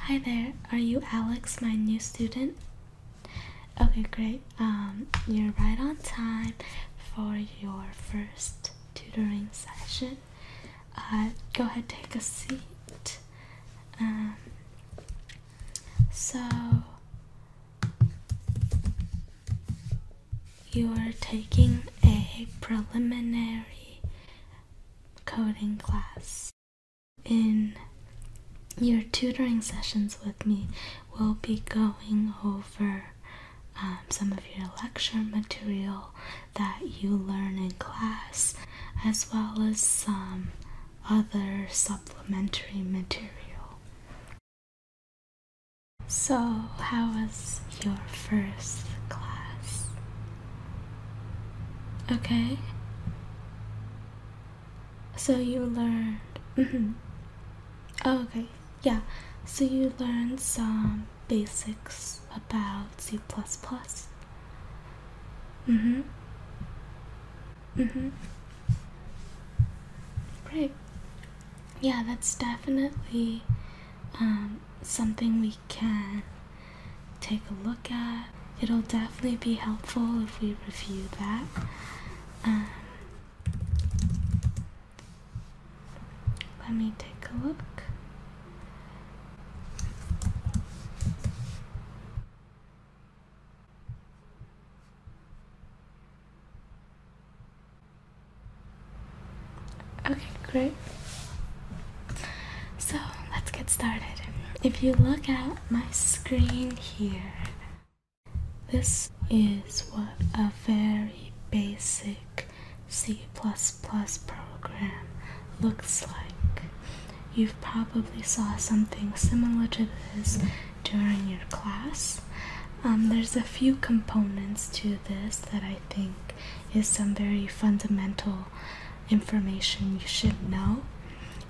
Hi there, are you Alex, my new student? Okay, great. Um, you're right on time for your first tutoring session. Uh, go ahead, take a seat. Um, so, you are taking a preliminary coding class in your tutoring sessions with me, we'll be going over um, some of your lecture material that you learn in class, as well as some other supplementary material. So, how was your first class? Okay, so you learned. Mm-hmm. Oh, okay, yeah. So you learned some basics about C. Mm hmm. Mm hmm. Great. Yeah, that's definitely um, something we can take a look at. It'll definitely be helpful if we review that. Um, let me take a look. Okay, great. So let's get started. If you look at my screen here, this is what a very basic C program looks like. You've probably saw something similar to this during your class. Um, there's a few components to this that I think is some very fundamental information you should know.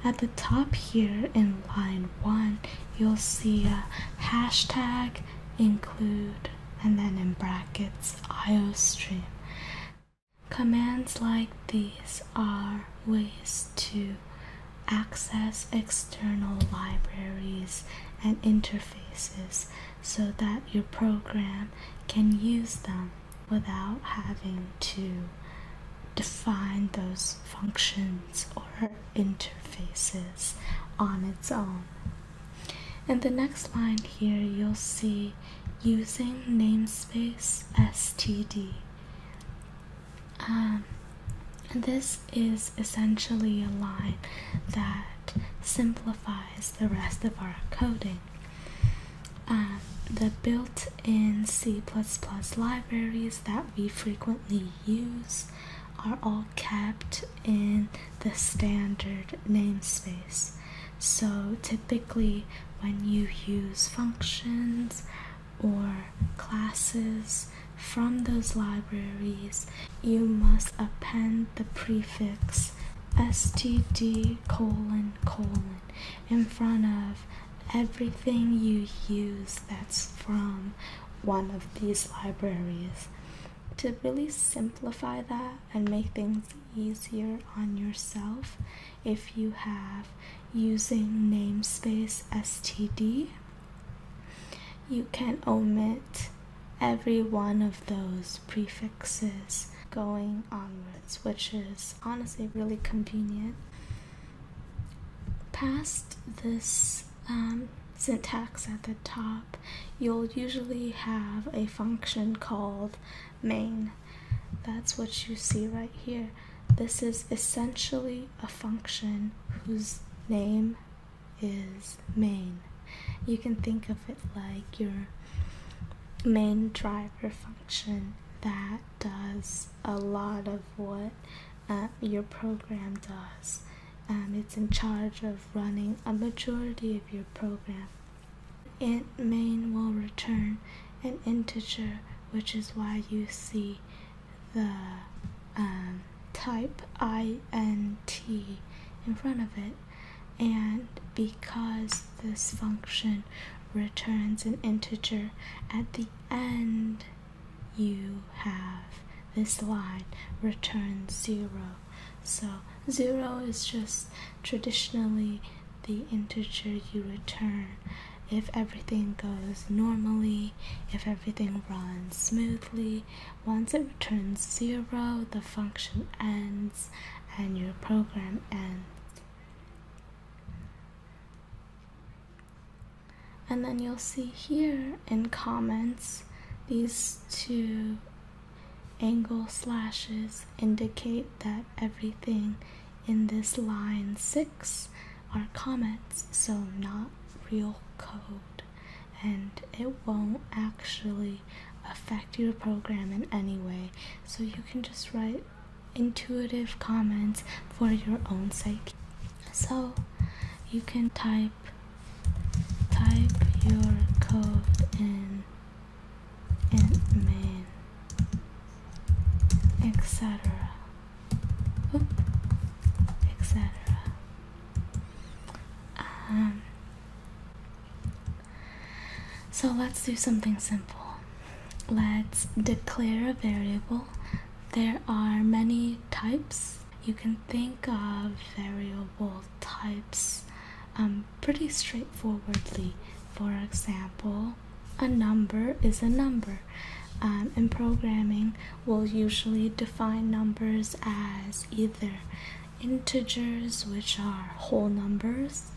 At the top here in line one, you'll see a hashtag include and then in brackets iostream. Commands like these are ways to access external libraries and interfaces so that your program can use them without having to define those functions or interfaces on its own. In the next line here, you'll see using namespace std. Um, this is essentially a line that simplifies the rest of our coding the built-in C++ libraries that we frequently use are all kept in the standard namespace. So typically when you use functions or classes from those libraries, you must append the prefix std colon colon in front of everything you use that's from one of these libraries to really simplify that and make things easier on yourself if you have using namespace std you can omit every one of those prefixes going onwards which is honestly really convenient. Past this um, syntax at the top, you'll usually have a function called main. That's what you see right here. This is essentially a function whose name is main. You can think of it like your main driver function that does a lot of what um, your program does. Um, it's in charge of running a majority of your program. Int main will return an integer, which is why you see the um, type int in front of it and because this function returns an integer at the end you have this line returns 0 so 0 is just traditionally the integer you return if everything goes normally, if everything runs smoothly, once it returns zero, the function ends and your program ends. And then you'll see here in comments, these two angle slashes indicate that everything in this line 6 are comments, so not real code. And it won't actually affect your program in any way so you can just write intuitive comments for your own sake so you can type type your code in in main etc etc um so let's do something simple. Let's declare a variable. There are many types. You can think of variable types um, pretty straightforwardly. For example, a number is a number. Um, in programming, we'll usually define numbers as either integers, which are whole numbers,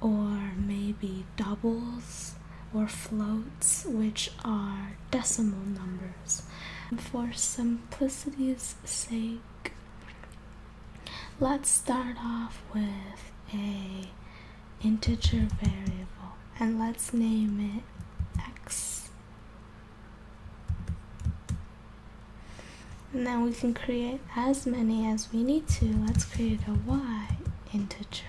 or maybe doubles or floats, which are decimal numbers. For simplicity's sake, let's start off with a integer variable and let's name it x and then we can create as many as we need to. Let's create a y integer.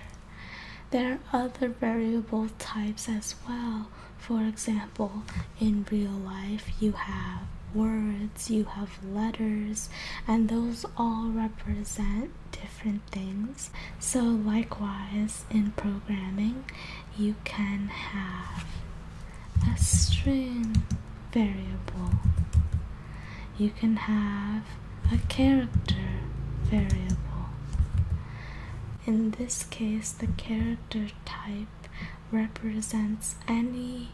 There are other variable types as well. For example, in real life, you have words, you have letters, and those all represent different things. So, likewise, in programming, you can have a string variable. You can have a character variable. In this case, the character type represents any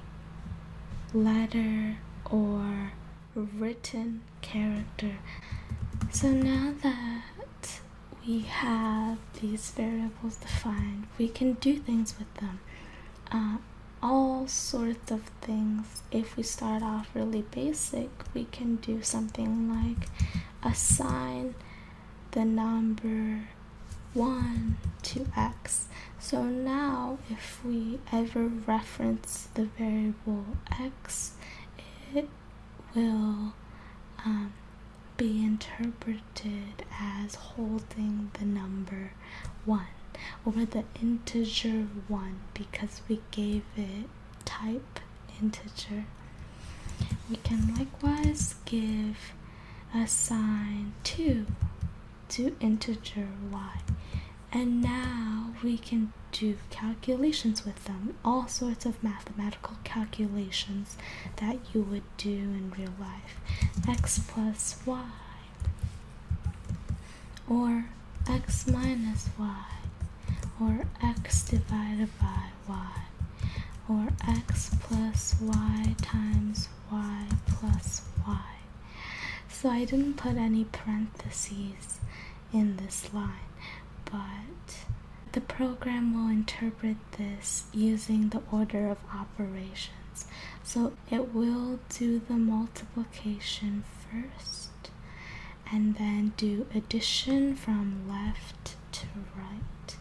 letter or written character. So now that we have these variables defined, we can do things with them. Uh, all sorts of things. If we start off really basic, we can do something like assign the number 1 to x. So now, if we ever reference the variable x, it will um, be interpreted as holding the number 1 over the integer 1 because we gave it type integer. We can likewise give a sign 2 to integer y. And now we can do calculations with them, all sorts of mathematical calculations that you would do in real life. x plus y or x minus y or x divided by y or x plus y times y plus y. So I didn't put any parentheses in this line, but the program will interpret this using the order of operations. So it will do the multiplication first and then do addition from left to right.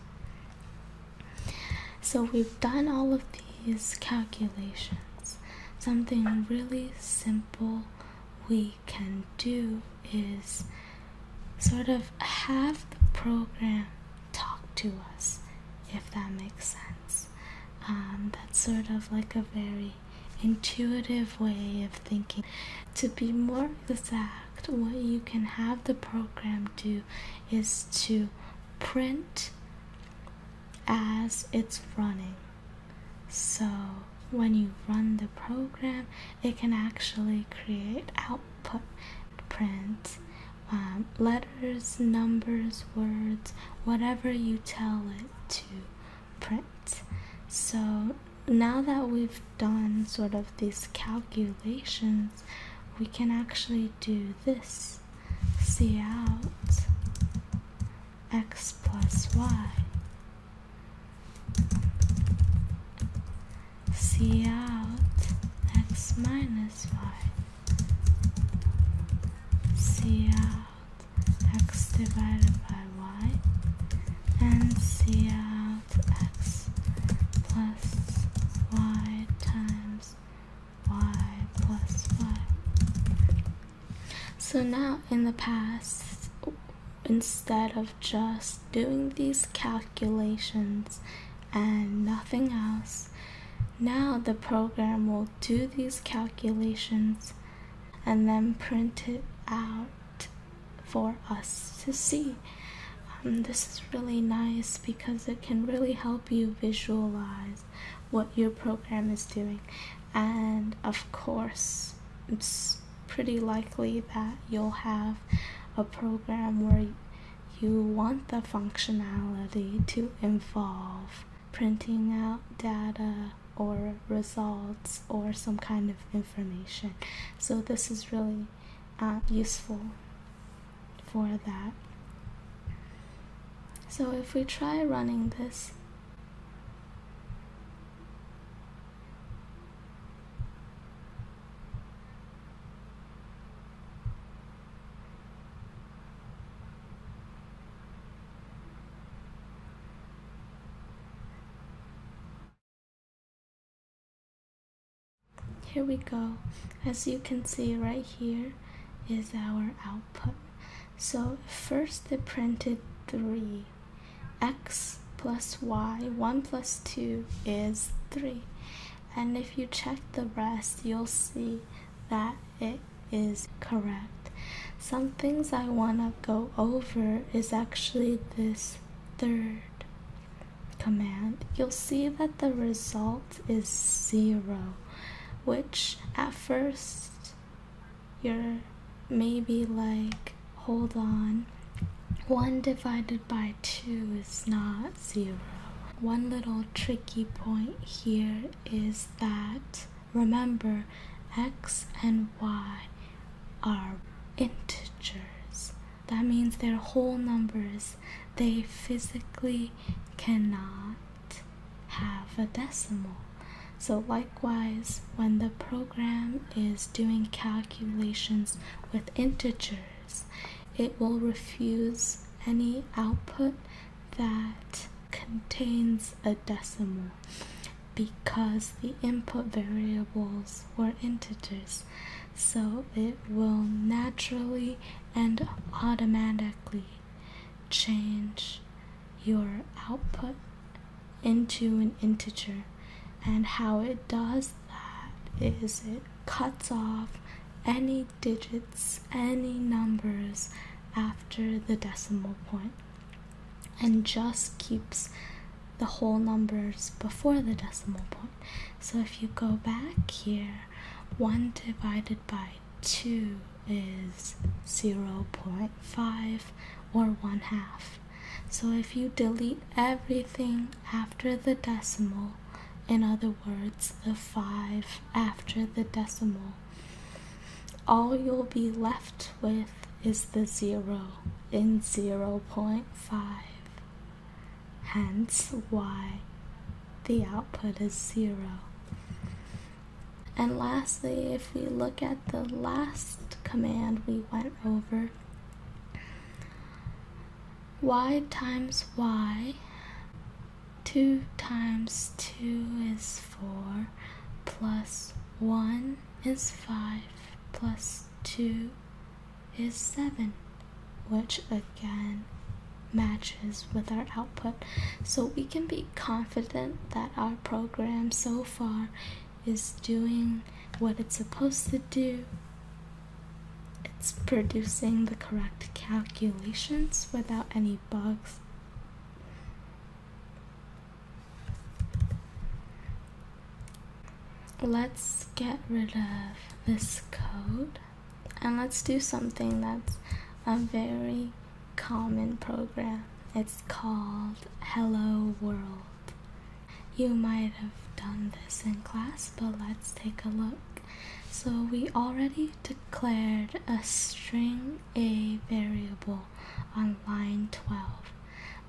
So we've done all of these calculations. Something really simple we can do is sort of have the program talk to us, if that makes sense. Um, that's sort of like a very intuitive way of thinking. To be more exact, what you can have the program do is to print as it's running. So when you run the program, it can actually create output print um, letters, numbers, words, whatever you tell it to print. So now that we've done sort of these calculations, we can actually do this. See out x plus y. See out x minus y. C divided by y and C plus y times y plus y. So now in the past, instead of just doing these calculations and nothing else. Now the program will do these calculations and then print it out for us to see. Um, this is really nice because it can really help you visualize what your program is doing. And of course, it's pretty likely that you'll have a program where you want the functionality to involve printing out data or results or some kind of information. So, this is really uh, useful for that. So, if we try running this, here we go as you can see right here is our output so first they printed 3 x plus y 1 plus 2 is 3 and if you check the rest, you'll see that it is correct. Some things I want to go over is actually this third command. You'll see that the result is zero, which at first you're maybe like, hold on, 1 divided by Two is not zero. One little tricky point here is that remember x and y are integers. That means they're whole numbers. They physically cannot have a decimal. So likewise, when the program is doing calculations with integers, it will refuse any output that contains a decimal because the input variables were integers. So it will naturally and automatically change your output into an integer. And how it does that is it cuts off any digits, any numbers after the decimal point, and just keeps the whole numbers before the decimal point. So if you go back here, 1 divided by 2 is 0.5 or 1 half. So if you delete everything after the decimal, in other words, the five after the decimal. All you'll be left with is the zero in 0.5. Hence, why the output is zero. And lastly, if we look at the last command we went over, y times y 2 times 2 is 4 plus 1 is 5 plus 2 is 7 which again matches with our output so we can be confident that our program so far is doing what it's supposed to do it's producing the correct calculations without any bugs. Let's get rid of this code and let's do something that's a very common program. It's called Hello World. You might have done this in class, but let's take a look. So we already declared a string a variable on line 12.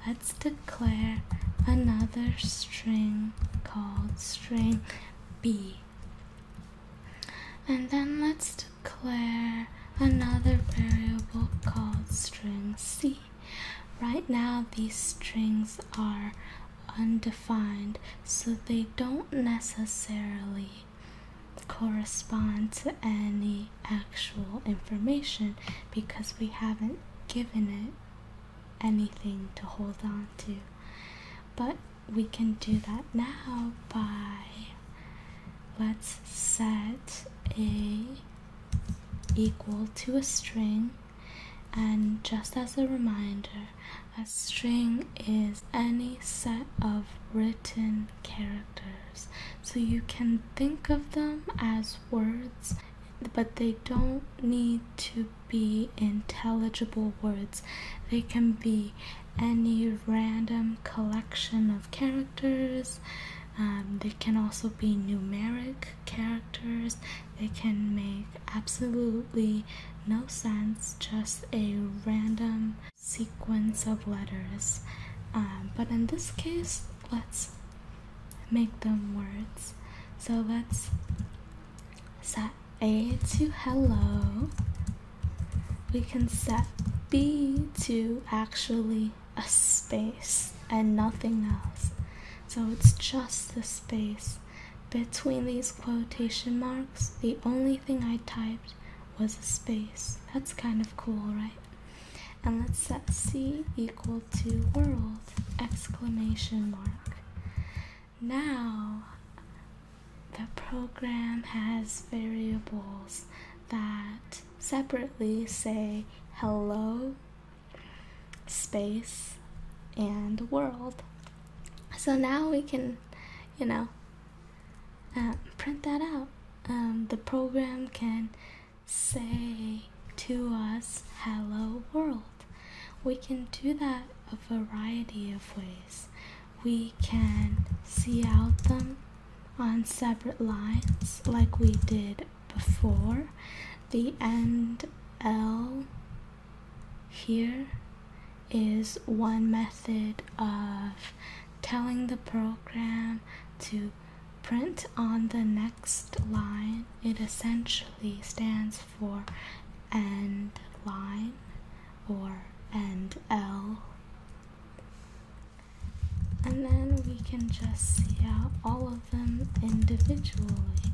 Let's declare another string called string b. And then let's declare another variable called string c. Right now these strings are undefined, so they don't necessarily correspond to any actual information because we haven't given it anything to hold on to. But we can do that now by let's set a equal to a string and just as a reminder, a string is any set of written characters. So you can think of them as words, but they don't need to be intelligible words. They can be any random collection of characters. Um, they can also be numeric characters they can make absolutely no sense, just a random sequence of letters. Um, but in this case, let's make them words. So let's set A to hello. We can set B to actually a space and nothing else. So it's just the space. Between these quotation marks, the only thing I typed was a space. That's kind of cool, right? And let's set C equal to world exclamation mark. Now, the program has variables that separately say hello space and world. So now we can, you know, uh, print that out. Um, the program can say to us, Hello world. We can do that a variety of ways. We can see out them on separate lines like we did before the end L here is one method of telling the program to print on the next line. It essentially stands for end line or end L. And then we can just yeah all of them individually.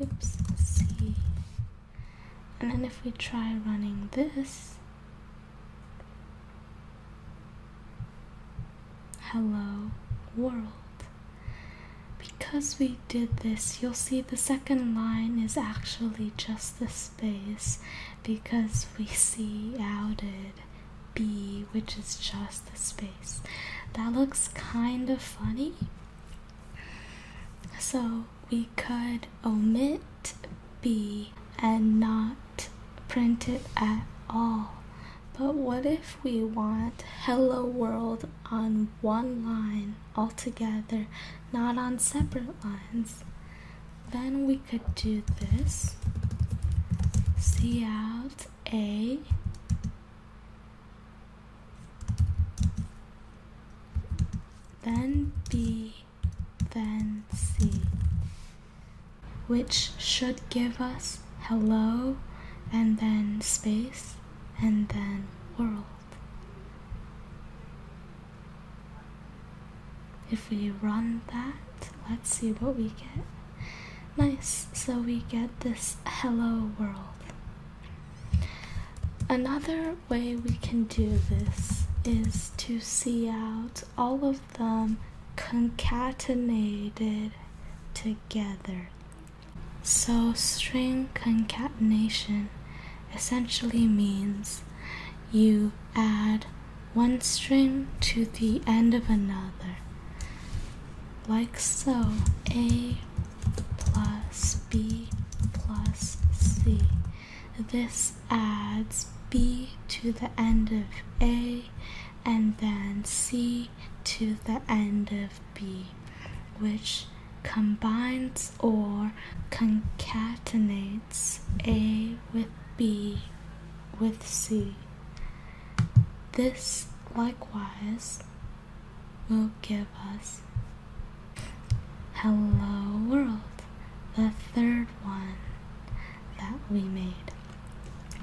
Oops, see. And then if we try running this, hello world. Because we did this, you'll see the second line is actually just the space because we see outed B, which is just the space. That looks kind of funny, so we could omit B and not print it at all. But what if we want hello world on one line altogether, not on separate lines? Then we could do this. See out A then B, then C, which should give us hello and then space and then world. If we run that, let's see what we get. Nice, so we get this hello world. Another way we can do this is to see out all of them concatenated together. So, string concatenation essentially means you add one string to the end of another like so. A plus B plus C. This adds B to the end of A and then C to the end of B, which combines or concatenates A with B with C. This likewise will give us. Hello World, the third one that we made.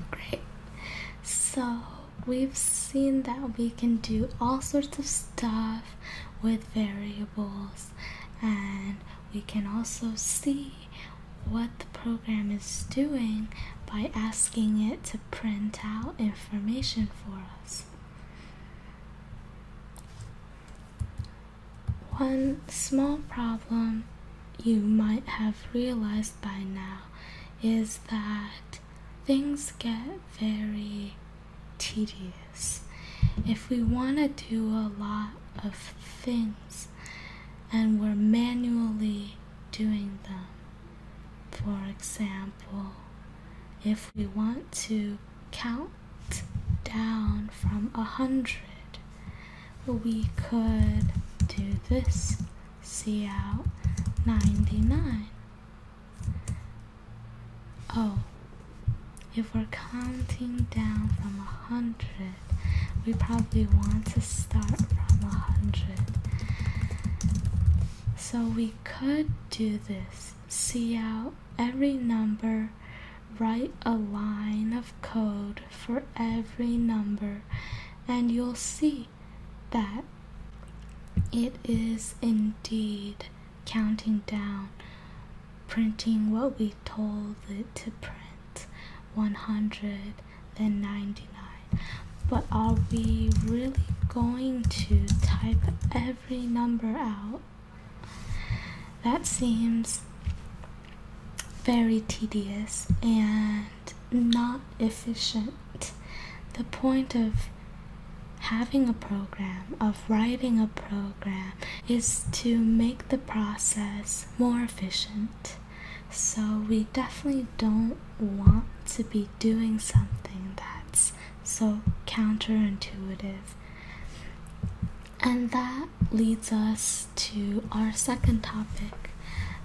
Great. So we've seen that we can do all sorts of stuff with variables and we can also see what the program is doing by asking it to print out information for us. One small problem you might have realized by now is that things get very tedious. If we want to do a lot of things and we're manually doing them, for example, if we want to count down from a hundred, we could do this. See out 99. Oh, if we're counting down from a hundred, we probably want to start from a hundred. So we could do this. See how every number, write a line of code for every number, and you'll see that it is indeed counting down, printing what we told it to print 100, than 99 but are we really going to type every number out that seems very tedious and not efficient the point of having a program of writing a program is to make the process more efficient so, we definitely don't want to be doing something that's so counterintuitive. And that leads us to our second topic.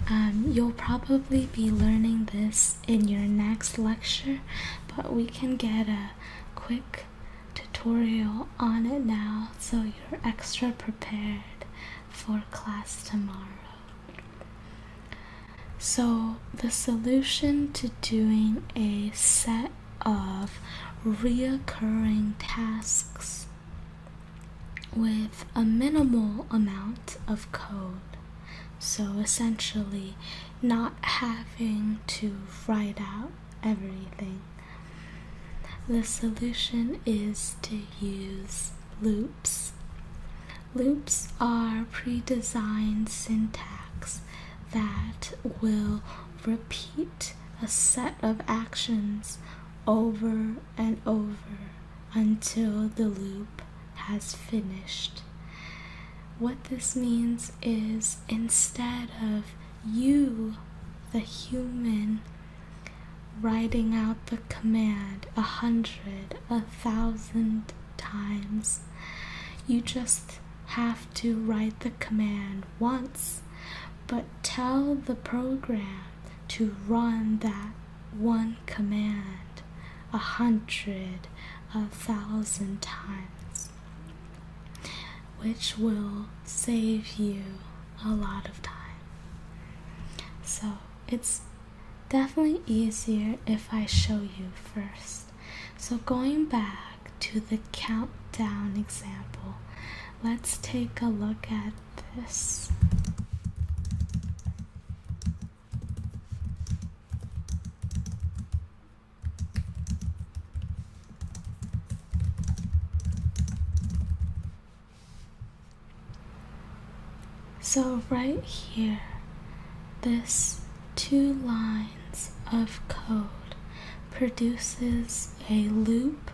Um, you'll probably be learning this in your next lecture, but we can get a quick tutorial on it now so you're extra prepared for class tomorrow. So, the solution to doing a set of reoccurring tasks with a minimal amount of code. So, essentially, not having to write out everything. The solution is to use loops. Loops are pre-designed syntax that will repeat a set of actions over and over until the loop has finished. What this means is instead of you, the human, writing out the command a hundred, a thousand times. You just have to write the command once, but tell the program to run that one command a hundred, a thousand times, which will save you a lot of time. So it's definitely easier if I show you first. So going back to the countdown example, let's take a look at this. So right here, this two lines of code produces a loop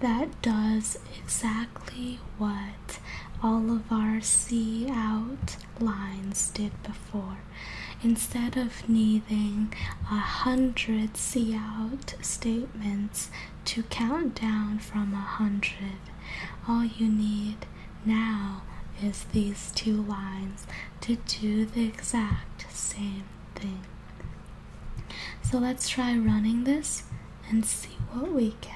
that does exactly what all of our C out lines did before. Instead of needing a hundred C out statements to count down from a hundred, all you need now is these two lines to do the exact same thing. So let's try running this and see what we get.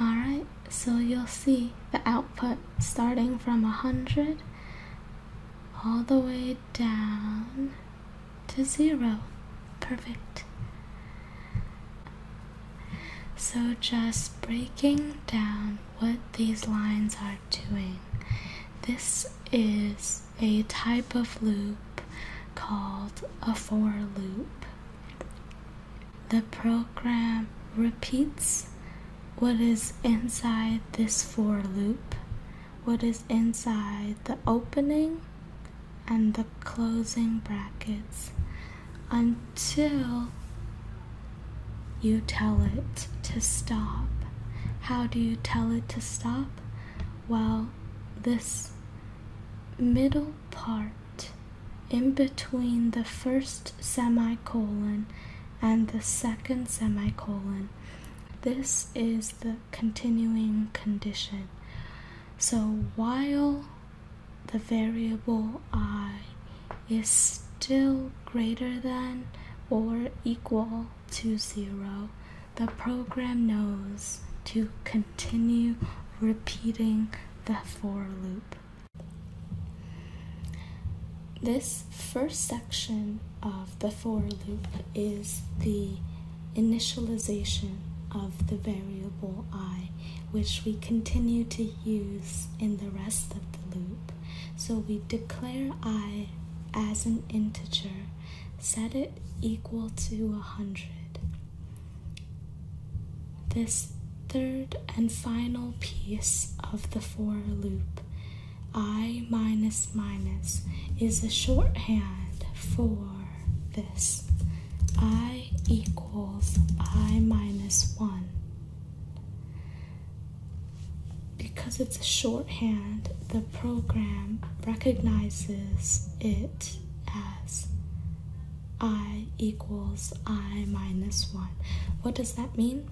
Alright, so you'll see the output starting from 100 all the way down to zero. Perfect. So, just breaking down what these lines are doing. This is a type of loop called a for loop. The program repeats what is inside this for loop what is inside the opening and the closing brackets until you tell it to stop. How do you tell it to stop? Well, this middle part in between the first semicolon and the second semicolon, this is the continuing condition. So while the variable i is still greater than or equal to zero, the program knows to continue repeating the for loop. This first section of the for loop is the initialization of the variable i, which we continue to use in the rest of the loop. So we declare i as an integer, set it equal to a 100. This third and final piece of the for loop, i minus minus, is a shorthand for this. I equals I minus 1. Because it's a shorthand, the program recognizes it as I equals I minus 1. What does that mean?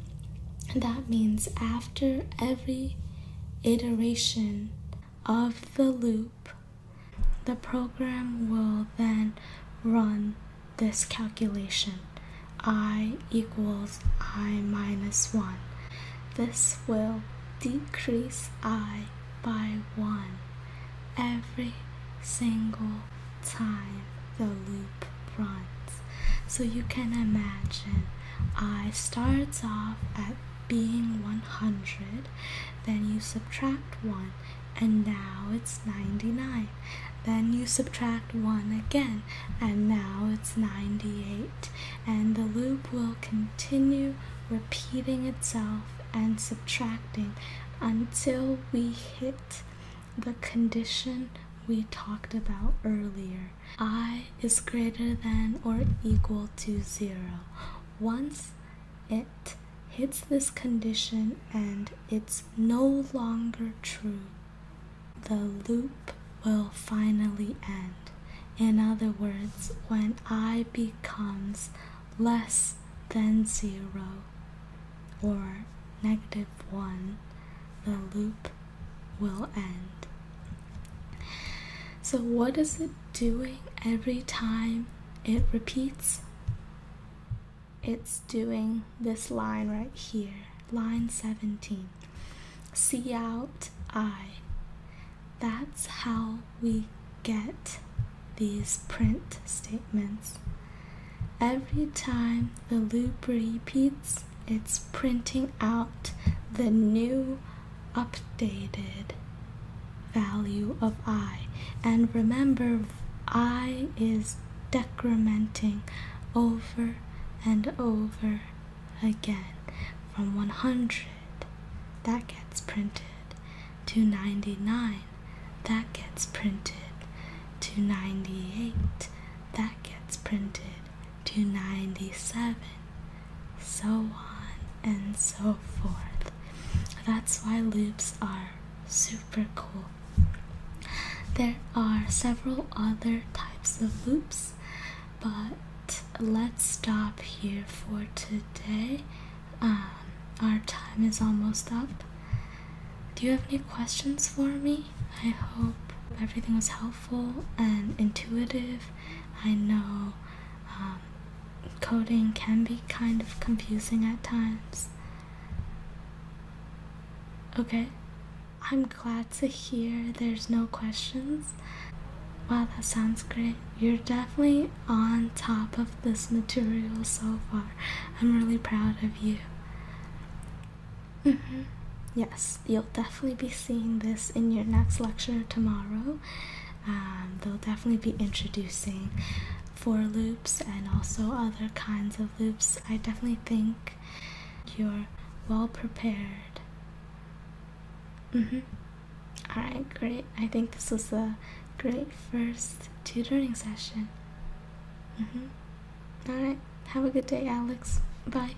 That means after every iteration of the loop, the program will then run this calculation i equals i minus 1. This will decrease i by 1 every single time the loop runs. So you can imagine i starts off at being 100 then you subtract 1 and now it's 99 then you subtract 1 again and now it's 98 and the loop will continue repeating itself and subtracting until we hit the condition we talked about earlier i is greater than or equal to 0 once it hits this condition and it's no longer true, the loop will finally end. In other words, when I becomes less than zero or negative one, the loop will end. So, what is it doing every time it repeats? It's doing this line right here, line 17. See out I. That's how we get these print statements. Every time the loop repeats, it's printing out the new updated value of i. And remember, i is decrementing over and over again from 100 that gets printed to 99 that gets printed to 98 that gets printed to 97, so on and so forth. That's why loops are super cool. There are several other types of loops, but let's stop here for today. Um, our time is almost up. Do you have any questions for me? I hope everything was helpful and intuitive. I know um, coding can be kind of confusing at times. Okay, I'm glad to hear there's no questions. Wow, that sounds great. You're definitely on top of this material so far. I'm really proud of you. Mm -hmm. Yes you'll definitely be seeing this in your next lecture tomorrow. Um, they'll definitely be introducing for loops and also other kinds of loops. I definitely think you're well prepared. Mm-hmm. right, great. I think this was a great first tutoring session. Mm-hmm. right. Have a good day, Alex. Bye.